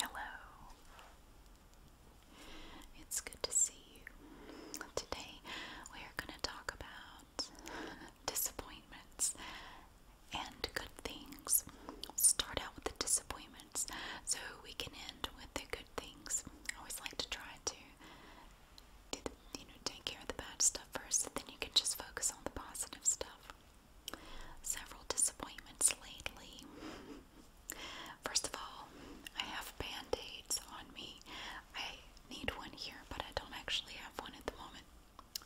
Hello. It's good to see you. Today we are going to talk about disappointments and good things. Start out with the disappointments so we can end with the good things. I always like to try to you know take care of the bad stuff first, so then you can just focus on the positive stuff several disappointments lately. First of all, I have band aids on me. I need one here, but I don't actually have one at the moment.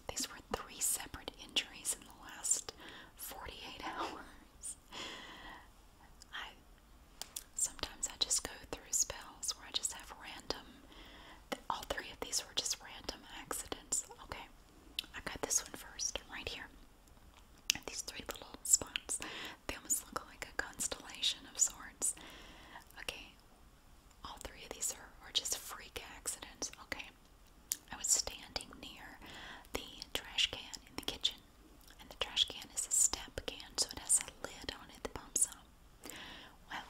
These were three separate injuries in the last 48 hours. I sometimes I just go through spells where I just have random all three of these were just random accidents. Okay. I got this one first, right here. These three little spots. They almost look like a constellation of sorts. Okay, all three of these are, just freak accidents. Okay, I was standing near the trash can in the kitchen, and the trash can is a step can, so it has a lid on it that bumps up. Well,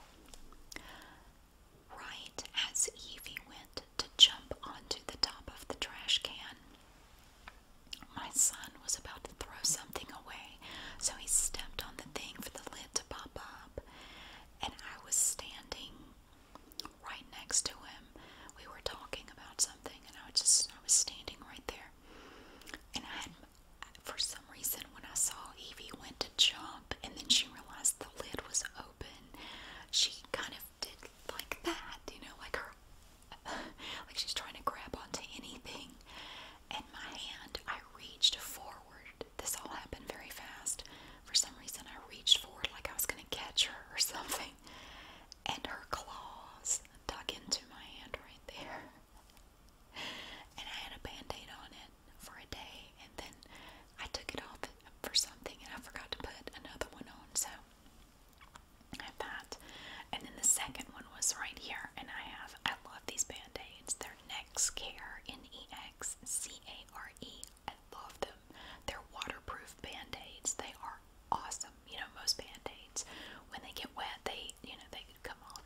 right as Evie went to jump onto the top of the trash can. My son was about to throw something away, so he stepped on the thing for the lid to pop up, and I was standing right next to him. We were talking about something, and I was just I was standing right there, and I had for some reason when I saw Evie went to jump, and then she realized the lid was open, she kind of crafted like that, you know, like her, like she's trying to grab onto anything. And my hand, I reached forward. This all happened very fast. For some reason, I reached forward like I was going to catch her or something. And her claws dug into my hand right there. And I had a band aid on it for a day and then I took it off for something, and I forgot to put another one on. So I have that, and then the second one was right here, and I have I love these band aids. They're Next Care N E X C A R E. I love them. They're waterproof band aids. They are awesome. You know, most band aids when they get wet, they you know they could come off.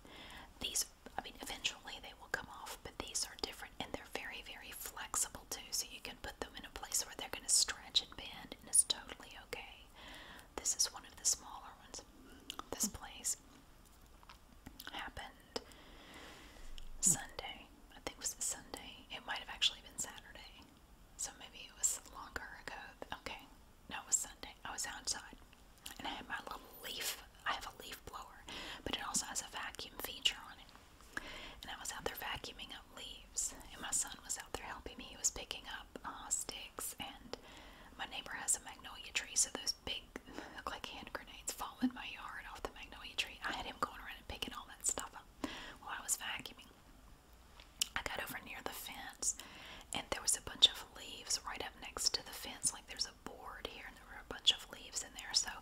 These, I mean, eventually they will come off, but these are different and they're very very flexible too. So you can put them in a place where they're going to stretch and bend, and it's totally okay. This is one of the smaller ones. This place happened Sunday. I think it was Sunday. It might have actually been Saturday. So maybe it was longer ago. Okay. No, it was Sunday. I was outside and I have my little leaf. I have a leaf blower, but it also has a vacuum feature on it. And I was out there vacuuming up leaves, and my son was out there helping me. He was picking up uh, sticks, and my neighbor has a magnolia tree, so those big, look like hand grenades, fall in my yard off the magnolia tree. I had him going around and picking all that stuff up while I was vacuuming. I got over near the fence, and there was a bunch of leaves right up next to the fence. Like there's a board here, and there were a bunch of leaves in there. So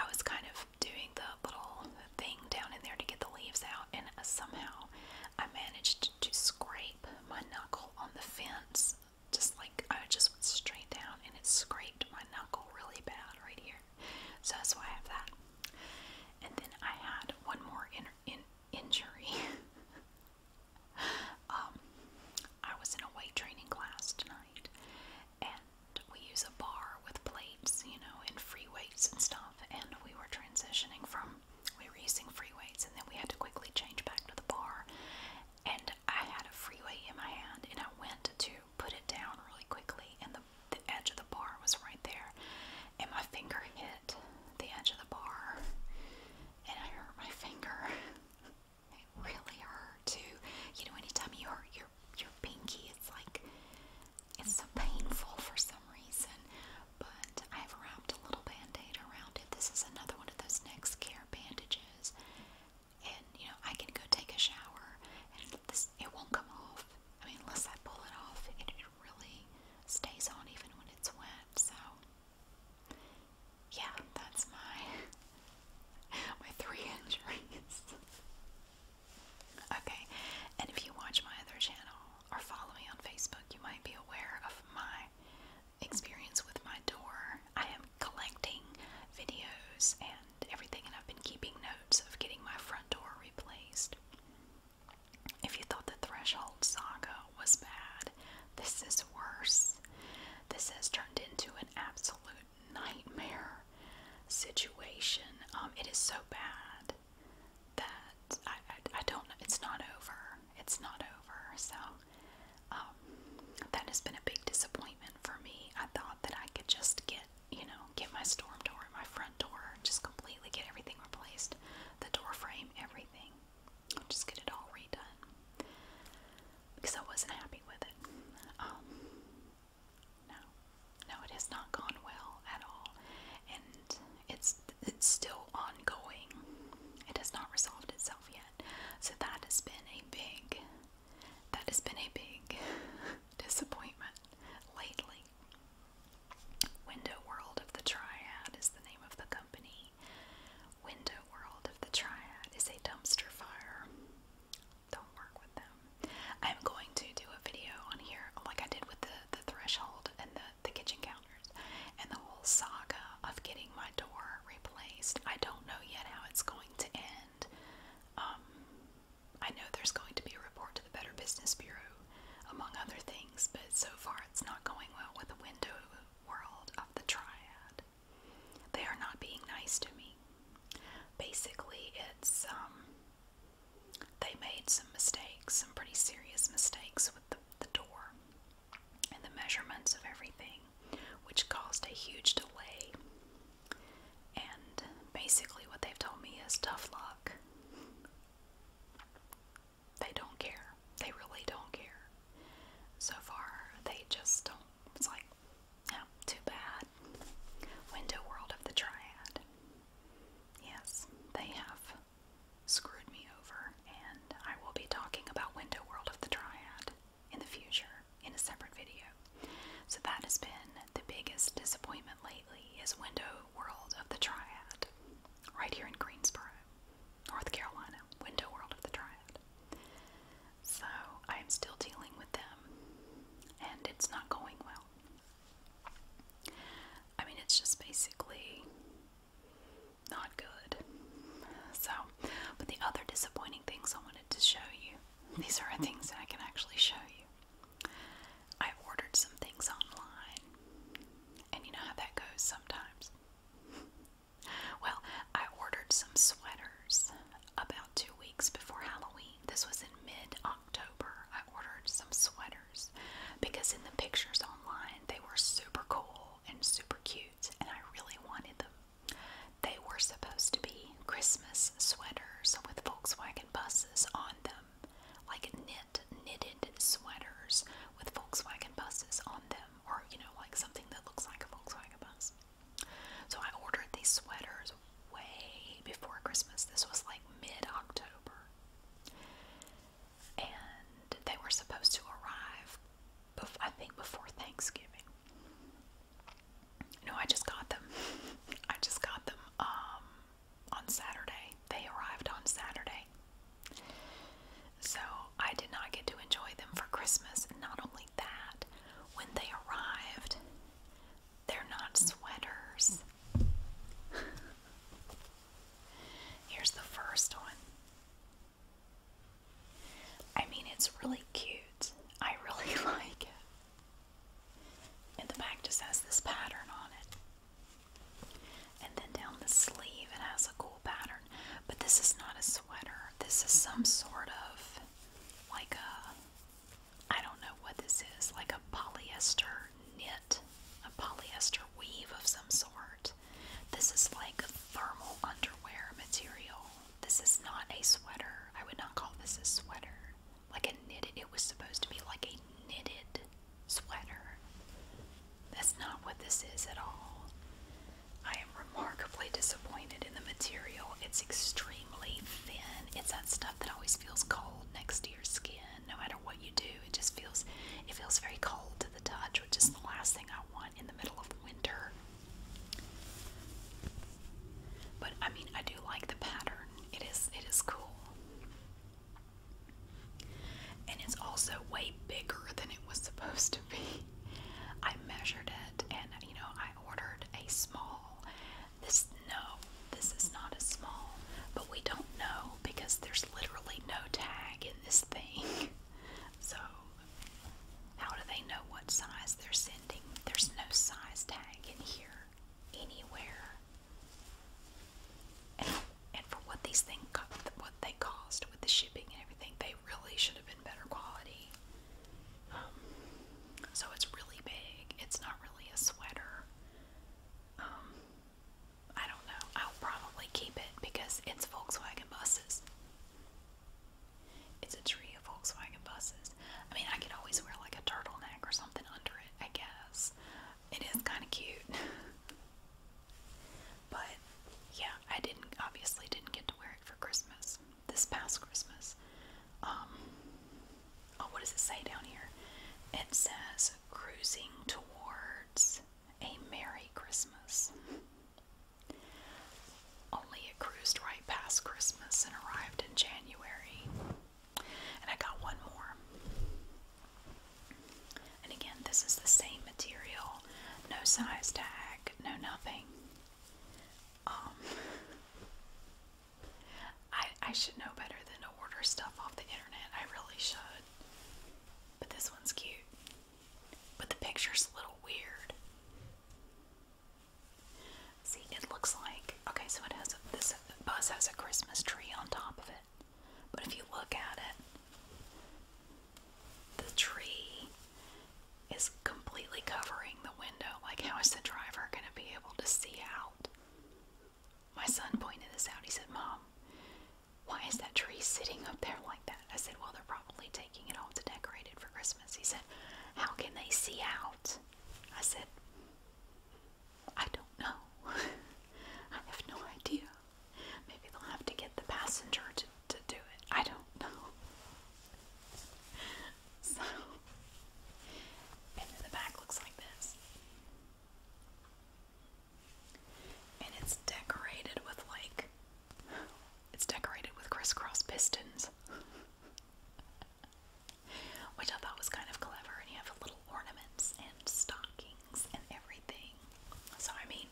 I was kind of doing the little thing down in there to get the leaves out, and somehow I managed to scrape my knuckle on the fence. Just like I just went straight down, and it scraped my knuckle really bad right here. So that's why I have that. And then I had one more in, in injury. um, I was in a weight training class tonight, and we use a bar with plates, you know, and free weights and stuff. And we were transitioning from, we were using free weights, and then we had to quickly change back to the bar. And I had a free weight in my hand, and I went to put it down really quickly, and the, the edge of the bar was right there. And my finger hit the edge of the bar, and I hurt my finger. It really hurt too. You know, anytime you hurt your your pinky. It's like it's so painful for some reason, but I've wrapped a little band around it. This is another one of those next care bandages, and you know, I can go take a shower and it won't come off. I mean, unless I pull it off, it, it really stays on even when it's wet. So, yeah, that's my my three injuries. Okay, and if you watch my other channel or follow me on Facebook, you might be aware of my experience with my door. I am collecting videos and everything, and I've been keeping notes of getting my front door replaced. If you thought the threshold saga was bad, this is worse. This has turned into an absolute nightmare situation. Um, it is so bad that I, I, don't, it's not over. It's not over. So, um, that has been a big disappointment for me. I thought that I could just get, you know, get my storm door, my front door, just completely get everything replaced the door frame, everything. Just get it all redone because I wasn't happy with it. Um, no, no, it has not gone well at all, and it's it's still ongoing. It has not resolved itself yet. So that has been a big, that has been a big disappointment lately. Window World of the Triad is the name of the company. Window World of the Triad is a dumpster fire don't work with them. I'm going to do a video on here, like I did with the, the threshold and the, the kitchen counters, and the whole saga of getting my door replaced. I don't know yet how it's going to end. Um, I know there's going to be a report to the Better Business Bureau, among other things, but so far it's not going well with the window world of the triad. They are not being nice to me. Basically, it's um, they made some mistakes, some pretty serious mistakes with the door and the measurements of everything, which caused a huge delay. And basically, what they've told me is tough luck. They don't care. They really don't care. So far, they just don't. It's like, Oh, too bad. Window World of the Triad. Yes, they have screwed me over, and I will be talking about Window World of the Triad in the future in a separate video. So that has been the biggest disappointment lately is Window World of the Triad. Right here in Greensboro, North Carolina. Window World of the Triad. So I am still dealing with them and it's not going well. I mean, it's just basically not good. So, but the other disappointing things I wanted to show you, these are things that I can actually show you. I ordered some things online, and you know how that goes sometimes. well, I ordered some sweaters about about two weeks before Halloween. This was in mid October. I ordered some sweaters because in the pictures online they were super cool and super cute, and I really wanted them. They were supposed to be Christmas sweaters with Volkswagen buses on them, like knit, knitted sweaters with Volkswagen buses on them, or you know, like something that looks like a Volkswagen bus. So I ordered these sweaters way before Christmas. This was like mid October. And they were supposed to arrive, I think, before Thanksgiving. No, I just got them. I just got them um, on Saturday. They arrived on Saturday. So I did not get to enjoy them for Christmas. Not only that, when they arrived, they're not sweaters. Here's the first one. I mean, it's really cute. I really like it. And the back just has this pattern on it. And then down the sleeve, it has a cool pattern. But this is not a sweater. This is some sort of like a I don't know what this is, like a polyester knit, a polyester weave of some sort. This is like thermal underwear material. This is not a sweater. I would not call this a sweater. Like a knitted, it was supposed to be like a knitted sweater. That's not what this is at all. I am remarkably disappointed in the material. It's extreme thin. It's that stuff that always feels cold next to your skin. No matter what you do, it just feels it feels very cold to the touch, which is the last thing I want in the middle of winter. But I mean, I do like the pattern. It is it is cool. And it's also way bigger than it was supposed to be. I measured it and you know, I ordered a small this no, this is not a small, but we don't know because there's literally no tag in this thing. So how do they know what size they're sending? There's no size tag in here anywhere. And, and for what these things, what they cost with the shipping and everything, they really should have been better quality. Um, so it's really big. It's not really a sweater. Um, I don't know. I'll probably keep it because it's Volkswagen buses. It's a tree of Volkswagen buses. I mean, I can always wear like a turtleneck or something under it, I guess. It is kind of cute. but yeah, I didn't, obviously, didn't get to wear it for Christmas this past Christmas. Um, oh, what does it say down here? It says cruising towards a Merry Christmas. Only it cruised right past Christmas and arrived in January. And I got one more. And again, this is the same material. No size tag, no nothing. Um, I I should know better than to order stuff off the internet. I really should. But this one's cute. But the picture's a little weird. See, it looks like okay, so it has a, this bus has a Christmas tree on top of it. But if you look at it, the tree is completely covering the window. Like, how is the driver going to be able to see out? My son pointed this out. He said, Mom, why is that tree sitting up there like that? I said, Well, they're probably taking it off to decorate it for Christmas. He said, How can they see out? I said, I don't know. I have no idea. Maybe they'll have to get the passenger to, to do it. I don't know. So, and then the back looks like this. And it's decorated with like it's decorated with crisscross pistons. Which I thought was kind of clever, and you have little ornaments and stockings and everything. So, I mean,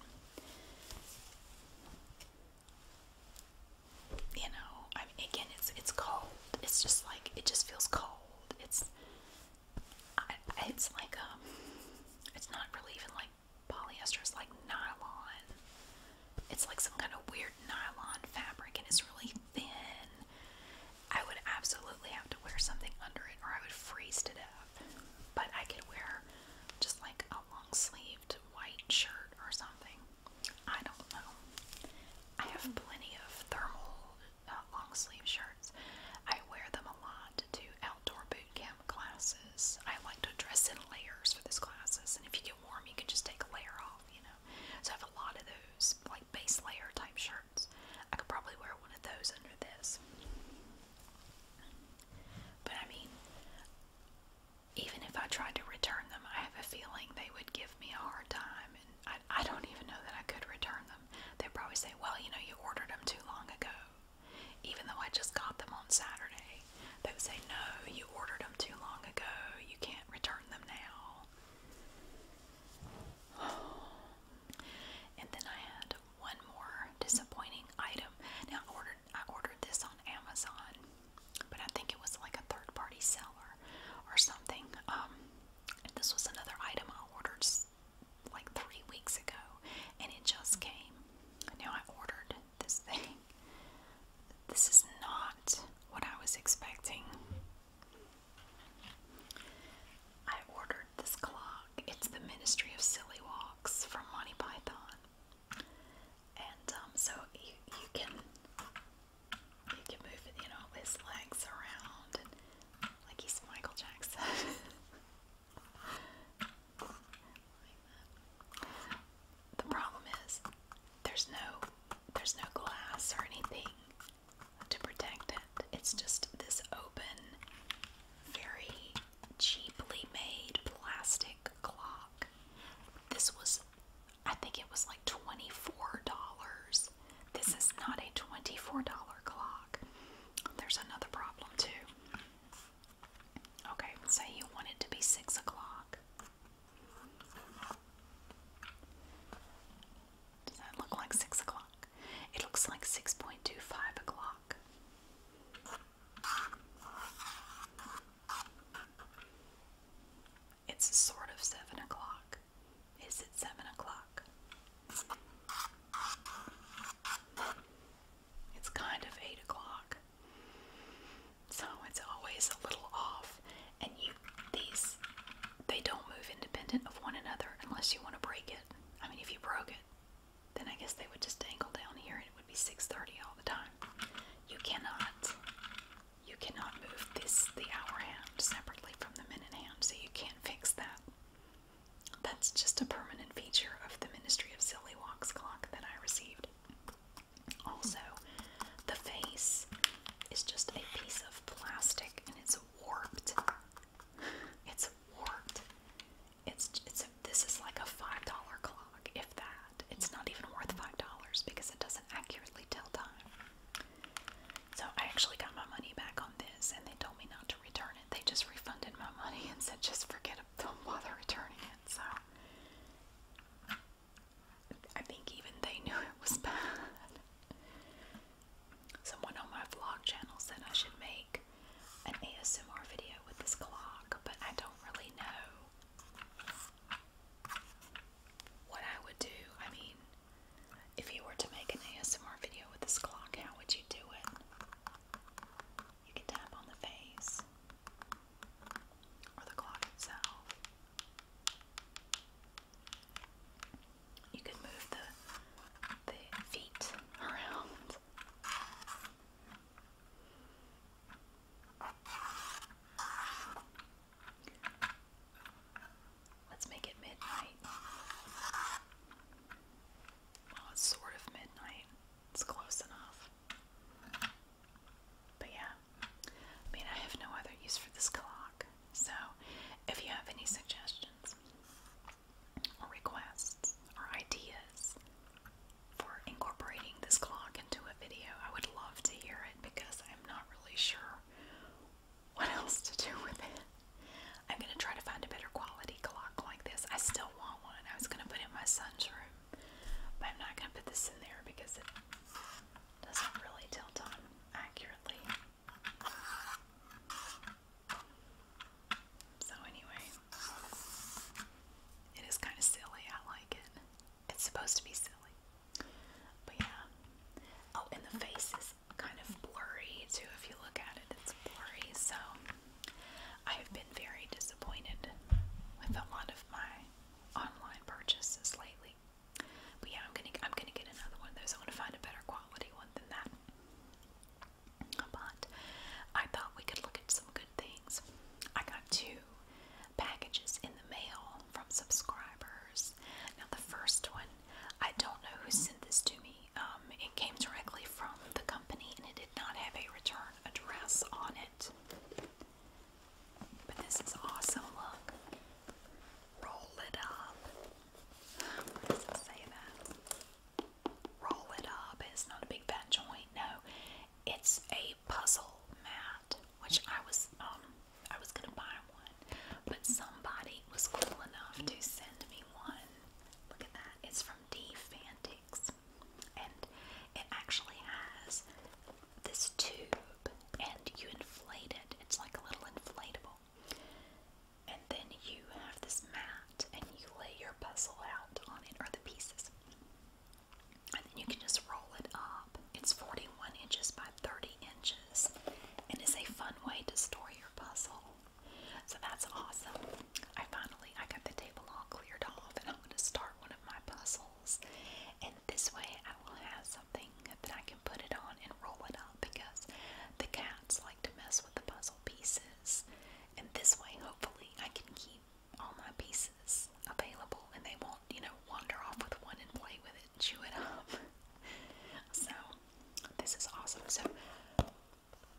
you know, I mean, again, it's it's cold. It's just like it just feels cold. It's it's like um, it's not really even like polyester. It's like nylon. It's like some kind of weird nylon fabric, and it's really thin. I would absolutely have to wear something under it, or I would freeze to death. But I could wear just like a long sleeved white shirt or something. I don't know. I have plenty of thermal uh, long sleeve shirts. I wear them a lot to outdoor boot camp classes. I like to dress in layers for these classes, and if you get warm, you can just take a layer off, you know. So I have a lot of those, like base layer type shirts. I could probably wear one of those under this. But I mean, even if I tried to return them, I have a feeling they would give me a hard time, and I, I don't even know that I could return them. They'd probably say, Well, you know, you ordered them too long ago, even though I just got them on Saturday. They would say, No, you ordered them too long ago, you can't return them now. and then I had one more disappointing item. Now, I ordered, I ordered this on Amazon but I think it was like a third party seller or something. Um, and this was another item I ordered like three weeks ago, and it just came. Now I ordered this thing. This is not what I was expecting. I ordered this clock. It's the Ministry of Silly Walks from Monty Python. And um, so you, you can he can move, you know, his legs around, like he's Michael Jackson. the problem is, there's no, there's no glass or anything to protect it. It's just this open, very cheaply made plastic clock. This was I think it was like $24. This is not a $24 clock. There's another problem too. Okay, say you want it to be 6 o'clock. Does that look like 6 o'clock? It looks like 6.25 o'clock. It's sort of seven o'clock. Is it seven o'clock? It's kind of eight o'clock. So it's always a little off. And you these they don't move independent of one another unless you want to break it. I mean if you broke it, then I guess they would just dangle down here and it would be 6:30 all the time. You cannot you cannot move this the hour hand separately from the minute hand, so you can't fix that. That's just a permanent feature of the Ministry of Silly Walks clock that I received. Also, the face is just a piece of plastic and it's warped. It's warped. It's it's this is like a five dollar clock, if that. It's not even worth $5 because it doesn't accurately tell time. So I actually got my money back on this and they told me not to return it. They just refunded my money and said just forget it, don't bother returning it. So I think even they knew it was bad. Someone on my vlog channel said I should make an ASMR video with this clock, but I don't really know what I would do, I mean, if you were to make an ASMR video with this clock, how would you do it? You can tap on the face or the clock itself. You can move the, the feet around. Let's make it midnight. Well, oh, it's sort of midnight. It's close enough. But yeah, I mean, I have no other use for this clock. So, if you have any suggestions or requests or ideas for incorporating this clock into a video, I would love to hear it because I'm not really sure what else to do with it. I'm gonna try to find a better quality clock like this. I still want one. I was gonna put it in my son's room, but I'm not gonna put this in there because it doesn't really tell time accurately. So anyway, it is kind of silly. I like it. It's supposed to be silly. But yeah. Oh, and the face is kind of blurry too. If you look at it, it's blurry. So I have been very disappointed with a lot of my online purchases lately. But yeah, gonna I'm gonna get another one of I want to find a better quality one than that. But I thought we could look at some good things. I got two packages in the mail from subscribers. Now, the first one, I don't know who sent this to me. Um, it came directly from the company and it did not have a return address on it. But this is awesome. Look. Roll it up. What does it say that? Roll it up. It's not a big fat joint. No. It's a puzzle mat which I was um I was gonna buy one, but somebody was cool enough to send me one. Look at that. It's from D And it actually has this tube and you inflate it. It's like a little inflatable. And then you have this mat and you lay your puzzle out on it or the pieces and then you can just roll it up. It's 41 inches by 30 inches and it's a fun way to store your puzzle. So that's awesome. I finally I got the table all cleared off and I'm going to start one of my puzzles. And this way I will have something that I can put it on and roll it up because the cats like to mess with the puzzle pieces. And this way hopefully I can keep all my pieces available and they won't, you know, wander off with one and play with it, chew it up. so, this is awesome. So,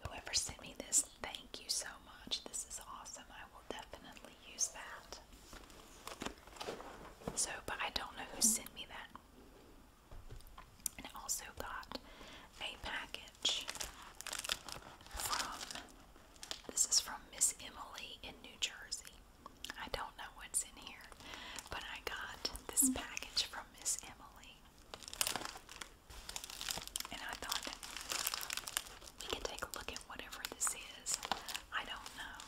whoever sent me this, thank you so much. This is awesome. I will definitely use that. So, but I don't know who sent me that. And I also got a package from, this is from Miss Emily in New Jersey. I don't know what's in here, but I got this package from Miss Emily. And I thought we can take a look at whatever this is. I don't know.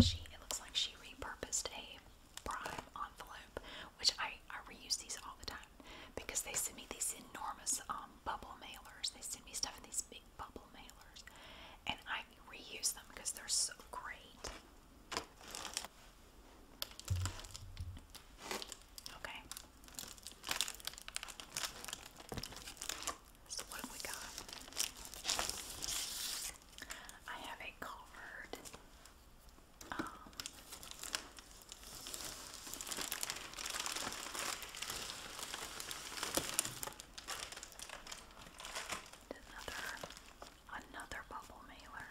She it looks like she repurposed a prime envelope, which I, I reuse these all the time because they send me these enormous um bubble mailers. They send me stuff in these big bubble mailers, and I reuse them because they're so great. Okay. So what have we got? I have a card. Um, Another, another bubble mailer.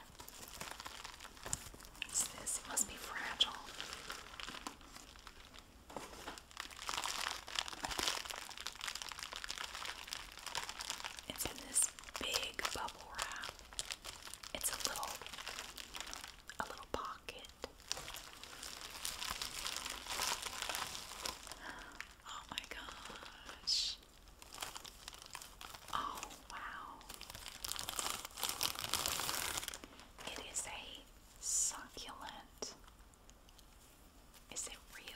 What's this? It must be fragile. It's in this big bubble wrap. It's a little, a little pocket Oh my gosh. Oh wow. It is a succulent. Is it real?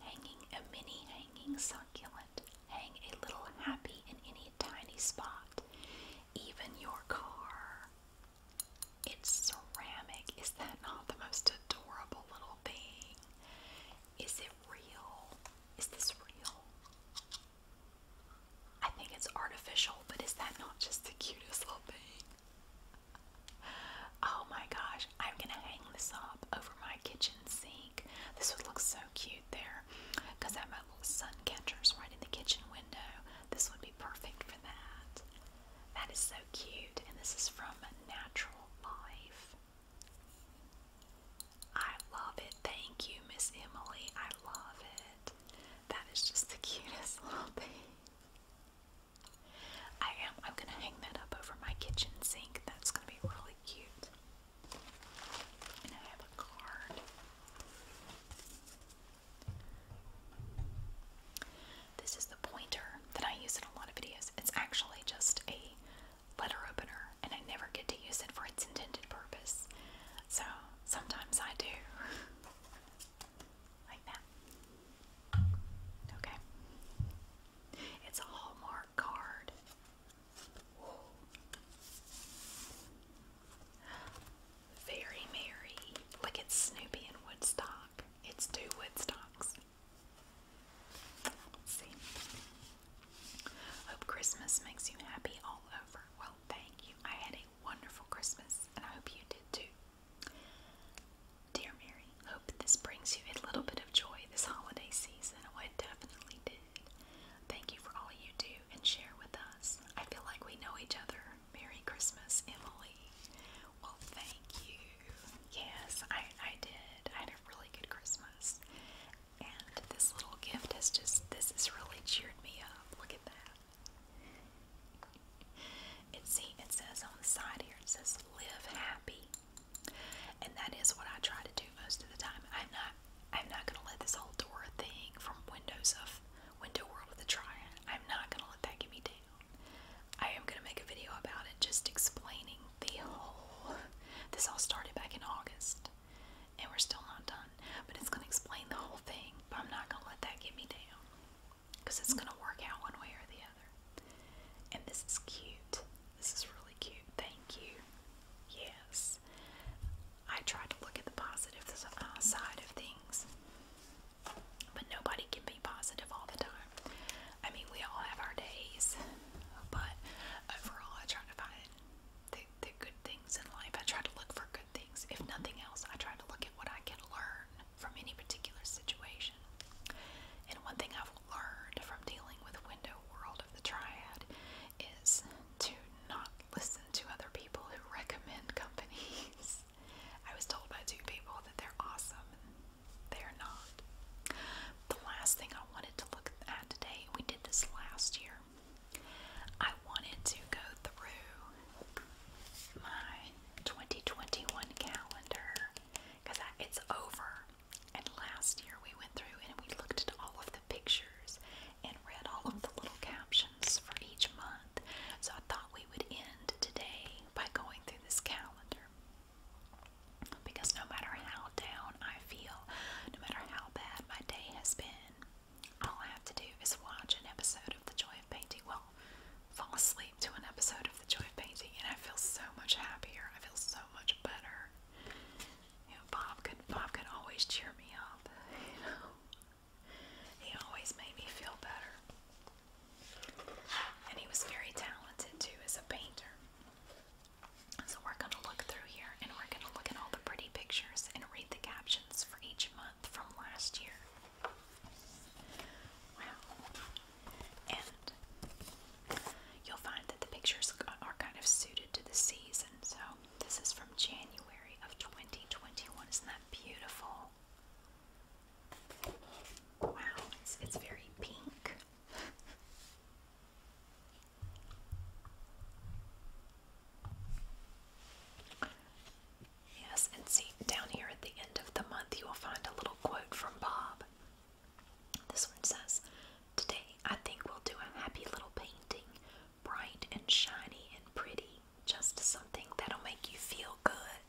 Hanging a mini hanging succulent. Hang a little happy in any tiny spot. Even your car. It's ceramic. Is that not the most adorable little thing? Is it real? Is this real? I think it's artificial, but is that not just the cutest little thing? Oh my gosh, I'm gonna hang this up over my kitchen sink. This would look so cute there because I have my little sun catchers right in the kitchen window. This would be perfect for that. That is so cute, and this is from Natural Life. I love it. Thank you, Miss Emily. I love it. That is just the cutest little thing. I am. I'm gonna hang that up over my kitchen sink. That's gonna be really cute. And I have a card. This is the pointer that I use in a lot of videos. It's actually just a letter opener, and I never get to use it for its intended purpose. So sometimes I do. like that. Okay. It's a Hallmark card. Very Merry. Like it's Snoopy and Woodstock. It's two Woodstocks. see. Hope Christmas makes you happy all over. Well, thank you. I had a wonderful Christmas and I hope you did too. Dear Mary, hope this brings you a little bit of joy this holiday season. Oh, it definitely did. Thank you for all you do and share with us. I feel like we know each other Merry Christmas, Emily. Well, thank you. Yes, I, I did. I had a really good Christmas. And this little gift has just, this has really cheered me up. Look at that. It, see, it says on the side here, it says live happy. And that is what I try to do most of the time. I'm not, I'm not going to let this whole door thing from Windows of went to World of the Triad. I'm not gonna let that get me down. I am gonna make a video about it, just explaining the whole. This all started back in August, and we're still not done. But it's gonna explain the whole thing. But I'm not gonna let that get me down, because it's gonna work out one way or the other. And this is cute. This is really cute. Thank you. Yes. I try to look at the positive side of things. But nobody can be positive all the time. I mean, we all have our days, but overall, I try to find the, the good things in life. I try to look for good things. If nothing else, I try to look at what I can learn from any particular situation. And one thing I've learned from dealing with window world of the triad is to not listen to other people who recommend companies. I was told by two people that they're awesome and they're not. The last thing I wanted to look at today, we did this last year. I wanted to go through my 2021 calendar because it's over. And last year we went through and we looked at all of the pictures and read all of the little captions for each month. So I thought we would end today by going through this calendar. Because no matter how down I feel, no matter how bad my day has been, all I have to do is watch an episode of The Joy of Painting. Well, fall asleep to an episode of The Joy of Painting, and I feel so much happier. I feel so much better. You know, Bob could Bob could always cheer me up. You know, he always made me feel better. And he was very talented too as a painter. So we're going to look through here and we're going to look at all the pretty pictures and read the captions for each month from last year. Wow. And you'll find that the pictures are kind of suited to the season. So this is from January of 2021. Isn't that beautiful? Wow, it's, it's very pink. yes, and see, down here at the end of the month, you will find a little quote from Bob. This one says, Today I think we'll do a happy little painting, bright and shiny and pretty just something that'll make you feel good.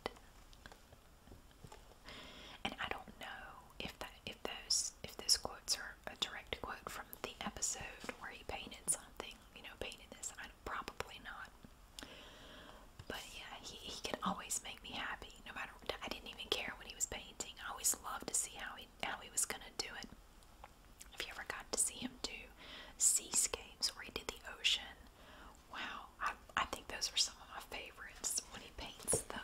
And I don't know if that if those if those quotes are a direct quote from the episode where he painted something, you know, painted this. I probably not. But yeah, he, he can always make me happy. No matter I didn't even care when he was painting. I always loved to see how he how he was gonna do it. If you ever got to see him do seascapes where he did the ocean Wow, I, think those are some of my favorites. When he paints the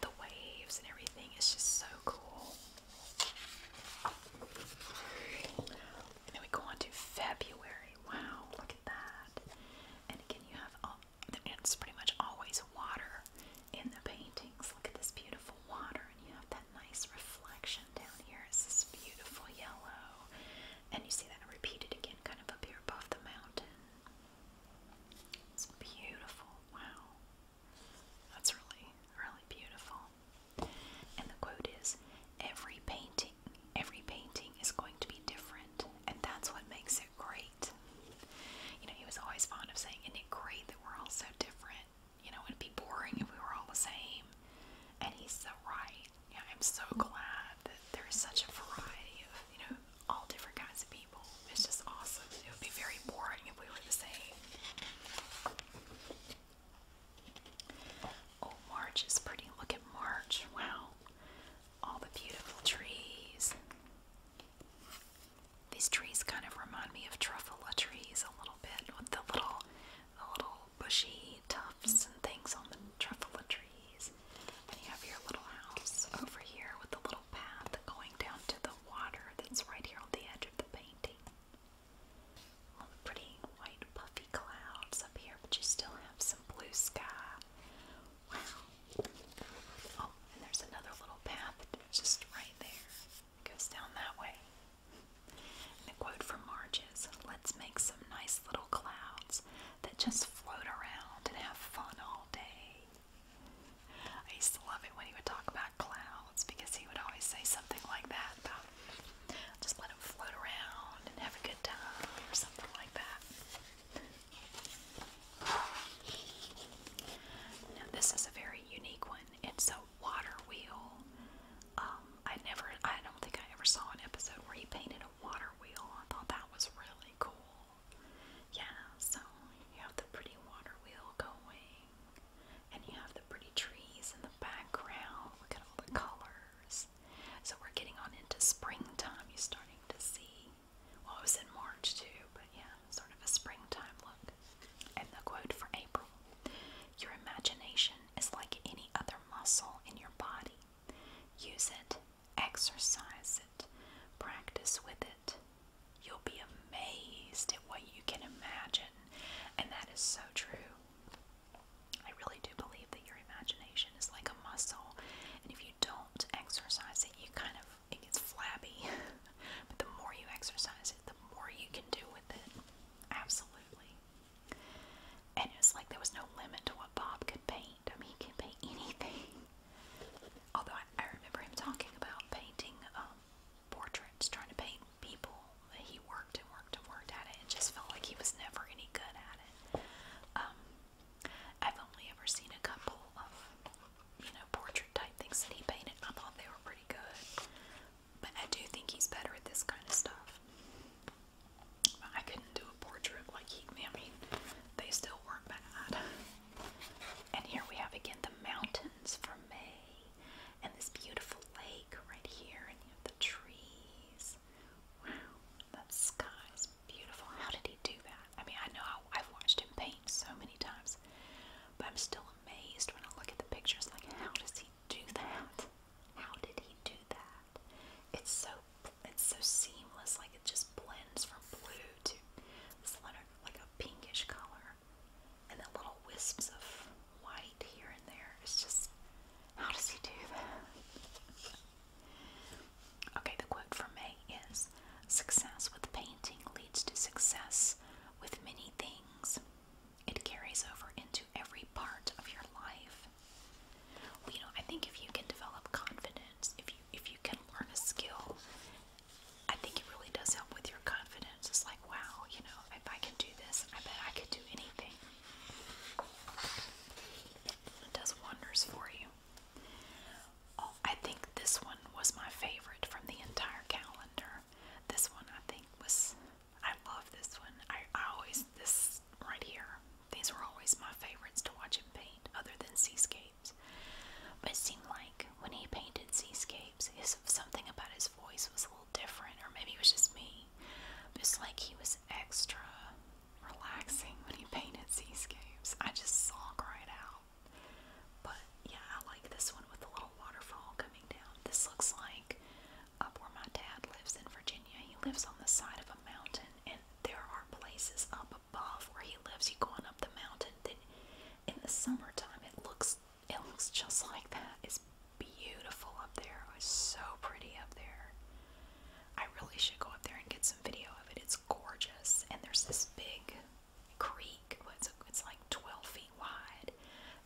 the waves and everything, it's just so cool. then we go on to February. Wow, look at that. And again, you have it's pretty much always water in the paintings. Look at this beautiful water, and you have that nice reflection down here. It's this beautiful yellow. And you see that repeated again, kind of up here above the mountain. It's beautiful. Wow. That's really, really beautiful. And the quote is every painting, every painting is going to be different, and that's what makes it great. You know, he was always fond of saying, Isn't it great that we're all so different? You know, it'd be boring if we were all the same. And he's so right. Yeah, I'm so glad that there's such a variety of, you know, all different kinds of people. It's just awesome. It would be very boring if we were the same. Oh, March is pretty. Look at March. Wow. All the beautiful trees. These trees kind of remind me of truffula trees a little bit with the little little bushy tufts and things on the truffle trees. And you have your little house over here with the little path going down to the water that's right here on the edge of the painting. All pretty white puffy clouds up here, but you still have some blue sky. Wow. Oh, and there's another little path just right there. goes down that way. And a quote from March is Let's make some nice little clouds that just float around and have fun all day. I used to love it when he would talk about clouds because he would always say something like that about just let them float around and have a good time or something like that. Now, this is a very unique one. It's a water wheel um, I never, I don't think I ever saw an episode where he painted a water wheel. I thought that was really cool. Yeah, so you have the pretty water wheel going, and you have the pretty trees in the background. Look at all the colors. So we're getting on into springtime. You're starting to see, well, it was in March too, but yeah, sort of a springtime look. And the quote for April Your imagination is like any other muscle in your body. Use it, exercise it, practice with it. You'll be amazed at what you can imagine, and that is so true. I really do believe that your imagination is like a muscle, and if you don't exercise it, you kind of it gets flabby. but the more you exercise it, the more you can do with it. Absolutely. And it was like there was no limit to what Bob could paint. I mean, he could paint anything. Although I, I remember him talking about painting um, portraits, trying to paint people. He worked and worked and worked at it and just felt like he was never any good at it. Um, I've only ever seen a couple of, you know, portrait type things that he painted. I thought they were pretty good. But I do think he's better at this kind of stuff. I couldn't do a portrait like he, I mean, they still weren't bad. And here we have again the mountains for May, and this beautiful lake right here, and the trees. Wow, that sky is beautiful. How did he do that? I mean, I know I've watched him paint so many times, but I'm still amazed when I look at the pictures. Like, how does he do that? How did he do that? It's so it's so seamless, like it just blends from blue to this like a pinkish color, and then little wisps of white here and there. It's just how does he do that? okay, the quote from May is success with painting leads to success with many things. It carries over into every part of your life. you know, I think if you can develop confidence, if you if you can learn a skill, I think it really does help with your confidence. It's like, wow, you know, if I can do this, I bet I could do anything. It does wonders for you. Oh, I think this one was my favorite from the entire calendar. This one I think was I love this one. I, I always, this right here, these were always my favorites to watch him paint, other than seascapes. But it seemed like when he painted seascapes, his, something about his voice was a little different, or maybe it was just me. But it's like he was extra relaxing when he painted seascapes. I just saw right out. But yeah, I like this one with the little waterfall coming down. This looks like up where my dad lives in Virginia. He lives on the side of a mountain, and there are places up above where he lives. You going up the mountain that in the summertime it looks it looks just like that. It's beautiful up there. It's so pretty up there. I really should go up there and get some video of it. It's gorgeous, and there's this big creek. It's, it's like 12 feet wide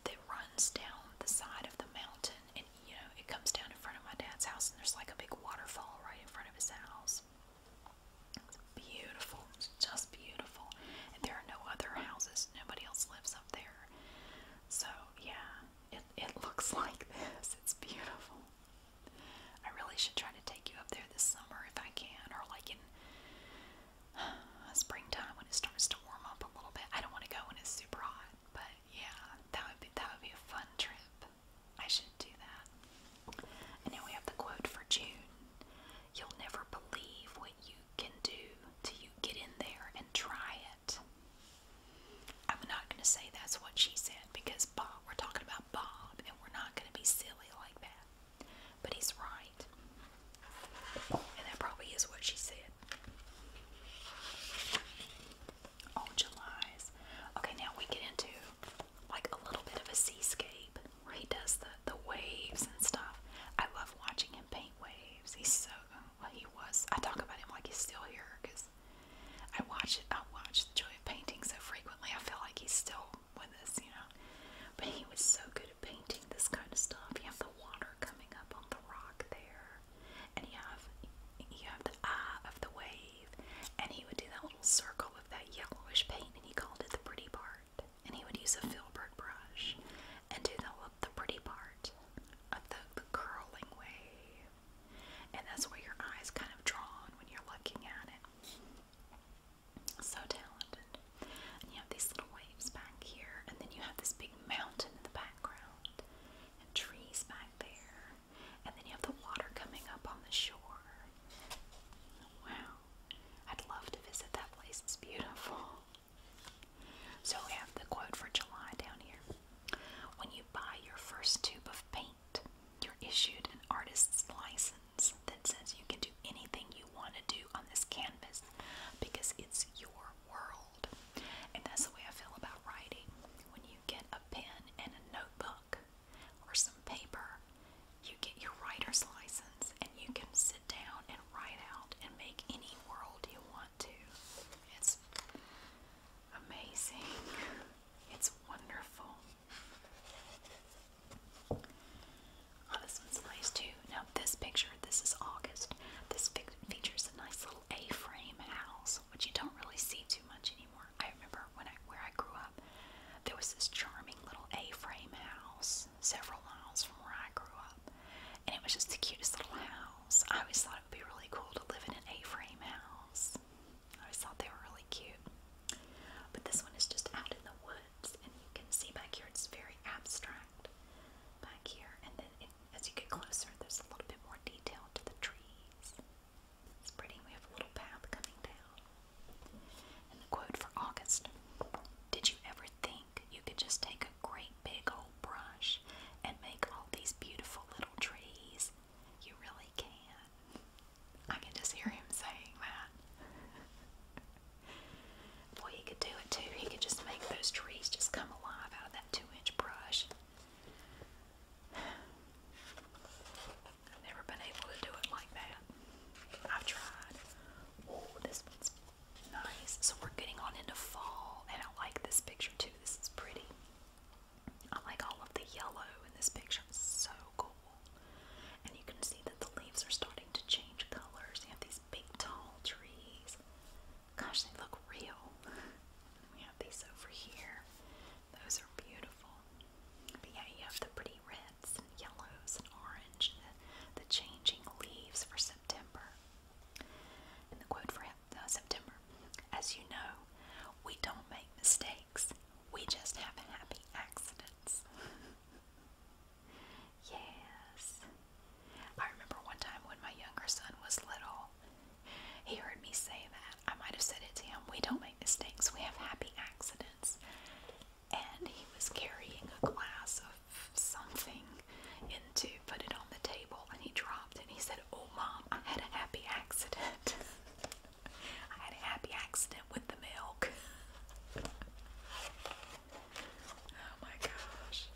that runs down the side of the mountain, and you know, it comes down in front of my dad's house, and there's like a big waterfall right in front of his house. It's beautiful, it's just beautiful. And there are no other houses, nobody else lives up there. So, yeah, it, it looks like this. It's beautiful. I really should try to take you up there this summer if I can, or like in uh, springtime when it starts to warm up a little bit. I don't want to go when it's super hot. But yeah, that would be that would be a fun trip. I should do that. And now we have the quote for June. You'll never believe what you can do till you get in there and try it. I'm not going to say that's what she said because Bob, we're talking about Bob and we're not going to be silly like that. But he's right. And that probably is what she said. Oh, July's. Okay, now we get into like a little bit of a seascape he does the, the waves and stuff. I love watching him paint waves. He's so, well, he was. I talk about him like he's still here because I watch it. I watch Julian painting so frequently. I feel like he's still with us, you know. But he was so good at painting this kind of stuff. You have the water coming up on the rock there and you have you have the eye of the wave, and he would do that little circle with that yellowish paint, and he called it the pretty part. And he would use a filbert brush and do the the pretty part of the, the curling wave, and that's where your eyes kind of draw on when you're looking at it. So talented. And you have these little waves back here, and then you have this big mountain in the background and trees back there. And then you have the water coming up on the shore. Wow. I'd love to visit that place. It's beautiful. So we have the quote for July down here. When you buy your first tube of paint, you're issued an artist's license that says you can do anything you want to do on this canvas because it's your world. And that's the way I feel about writing. When you get a pen and a notebook or some paper, you get your writer's license and you can sit down and write out and make any world you want to. It's amazing. It's wonderful. Oh, this one's nice too. Now, this picture this is August. This features a nice little A-frame house, which you don't really see too much anymore. I remember when I where I grew up, there was this charming little A-frame house several miles from where I grew up, and it was just the cutest little house. I always thought it would be really cool to live in an A-frame house. I always thought they were really cute. But this one is just out in the woods, and you can see back here it's very abstract back here, and then it as you get closer, there's a little bit more detail to the trees. It's pretty. We have a little path coming down. And the quote for August Did you ever think you could just take a great big old brush and make all these beautiful little trees? You really can. I can just hear him saying that. Boy, he could do it too. He could just make those trees just come alive out of two inch brush. I've never been able to do it like that. I've tried. Oh, this one's nice. So we're getting on into fall, and I like this picture too. This is pretty. I like all of the yellow in this picture. so cool. And you can see that the leaves are starting to change colors. You have these big tall trees. Gosh, they look real. We have these over here. Those are beautiful. But yeah, you have the pretty reds yellows and orange, the, changing leaves for September. And the quote for uh, September As you know, we don't make mistakes, we just have happy accidents. yes. I remember one time when my younger son was little, he heard me say that. I might have said it to him. We don't make mistakes, we have happy accidents. And he was carrying a glass of something into, put it on the table, and he dropped it. And he said, Oh, mom, I had a happy accident. I had a happy accident with the milk. oh my gosh.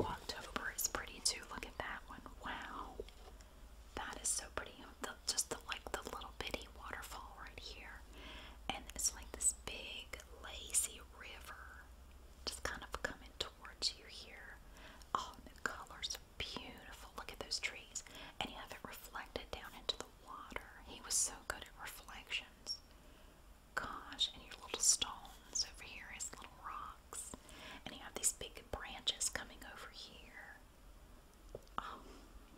October is pretty too. Look at that one. Wow. That is so pretty. just the, like the little bitty waterfall right here. And it's like this big lazy river just kind of coming towards you here. Oh, the colors are beautiful. Look at those trees. And you have it reflected down into the water. He was so good at reflections gosh, and your little stones over here is little rocks. And you have these big branches coming over here. Oh,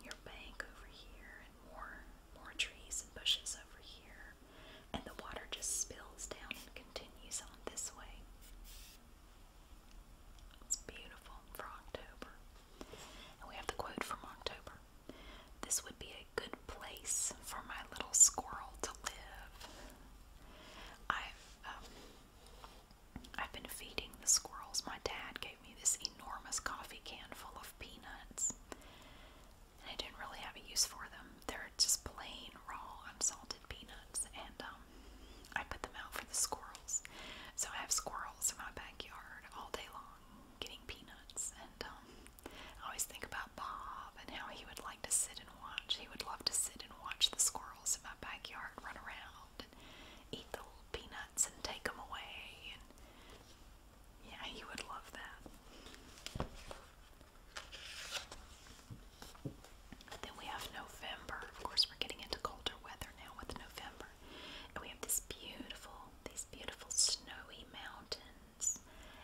your bank over here, and more more trees and bushes over here. And the water just spills down and continues on this way. It's beautiful for October. And we have the quote from October. This would be a good place for my little squirrel to live. I've um, I've been feeding the squirrels. My dad gave me this enormous coffee can full of peanuts, and I didn't really have a use for them. They're just plain raw, unsalted peanuts, and um, I put them out for the squirrels. So I have squirrels in my backyard all day long, getting peanuts, and um, I always think about Bob and how he would like to sit and watch. He would love to sit and watch the squirrels in my backyard run around and eat the little peanuts and take them away. And yeah, he would love that. Then we have November. Of course, we're getting into colder weather now with November. And we have this beautiful, these beautiful snowy mountains.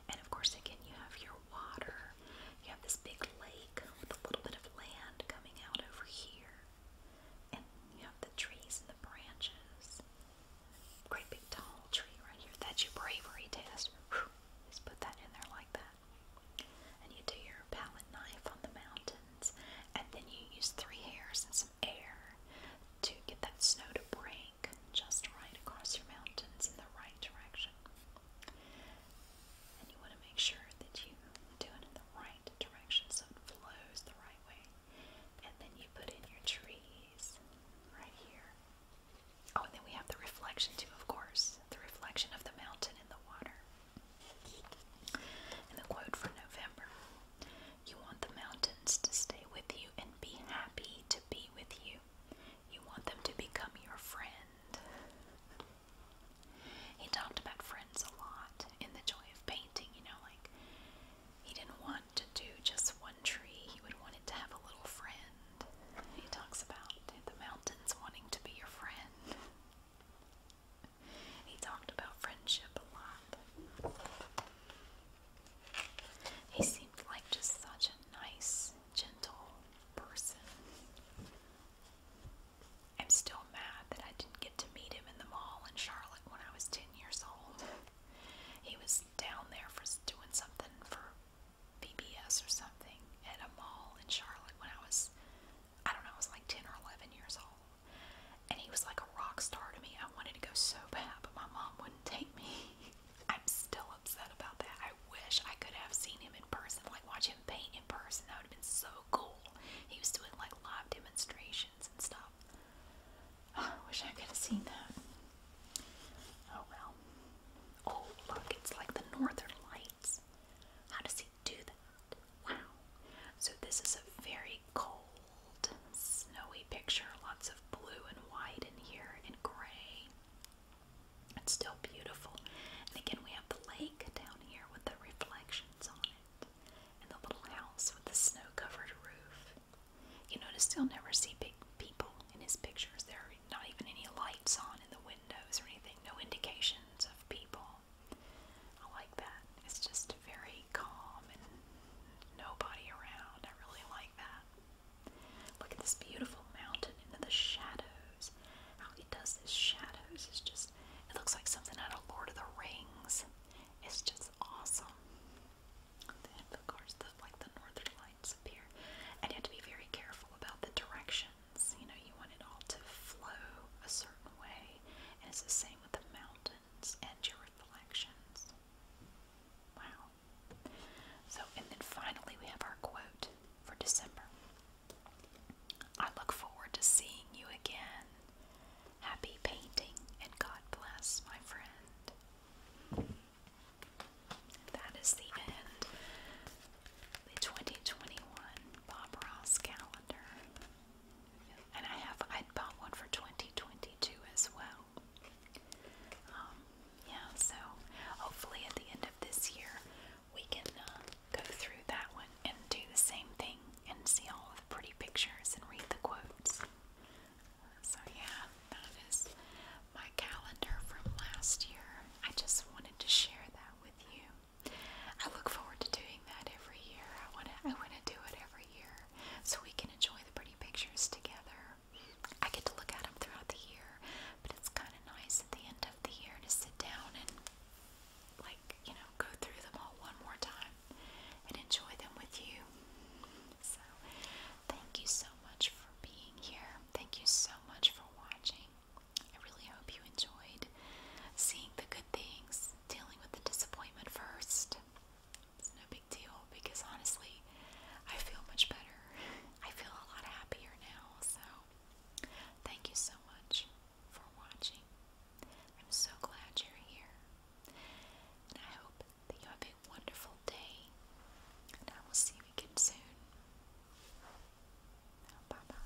And of course, again, you have your water. You have this big lake with a little bit of land coming out over here. And you have the trees and the branches. Great big tall tree right here. That's your bravery test. Whew. Just put that in there like that. And you do your palette knife on the mountains. And then you use three hairs and some air to get that snow to break just right across your mountains in the right direction. And you want to make sure that you do it in the right direction so it flows the right way. And then you put in your trees right here. Oh, and then we have the reflection too, of course. The reflection of the mountain in the water. And the quote for November you want the mountains to stay with you and be happy to be with you. You want them to become your friend. He talked about friends a lot in The Joy of Painting, you know, like he didn't want to do just one tree, he would want it to have a little friend. He talks about the mountains wanting to be your friend. He talked about friendship a lot. He seemed like just such a nice, gentle person. I'm still mad that I didn't get to meet him in the mall in Charlotte when I was 10 years old. He was down there for doing something for PBS or something at a mall in Charlotte when I was, I don't know, I was like 10 or 11 years old. And he was like a rock star to me. I wanted to go so bad, but my mom wouldn't take me. I'm still upset about that. I wish I could have seen him in person, like watch him paint in person. That would have been so cool. He was doing like live demonstrations and stuff. I wish I could have seen that. Oh well. Oh look, it's like the northern lights. How does he do that? Wow. So this is a very cold bold, snowy picture. Lots of blue and white in here and gray. It's still beautiful. And again, we have the lake down here with the reflections on it, and the little house with the snow covered roof. You notice you'll never see big people in his pictures. There are not even any lights on in the windows or anything, no indications of people. I like that. It's just very calm and nobody around. I really like that. Look at this beautiful mountain into the shadows. How he does this shadows is just, it looks like something out of Lord of the Rings. It's just awesome. of course, the, like the northern lights appear. And you have to be very careful about the directions. You know, you want it all to flow a certain way. And it's the same with the mountains and your reflections. Wow. So, and then finally, we have our quote for December. I look forward to seeing you again. Happy painting and God bless, my friend. That is the end the 2021 Bob Ross calendar. And I have I bought one for 2022 as well. Um, yeah, so hopefully at the end of this year we can uh, go through that one and do the same thing and see all the pretty pictures and read the quotes. So, yeah, that is my calendar from last year. I just wanted to share that with you. I look forward to doing that every year. I want I want to do it every year so we can enjoy the pretty pictures together. I get to look at them throughout the year, but it's kind of nice at the end of the year to sit down and, like, you know, go through them all one more time and enjoy them with you. So, thank you so much for being here. Thank you so much for watching. I really hope you enjoyed seeing the good things, dealing with the disappointment first, it's no big deal because honestly, I feel much better. I feel a lot happier now. So, thank you so much for watching. I'm so glad you're here. And I hope that you have a wonderful day. And I will see you again soon. Bye bye.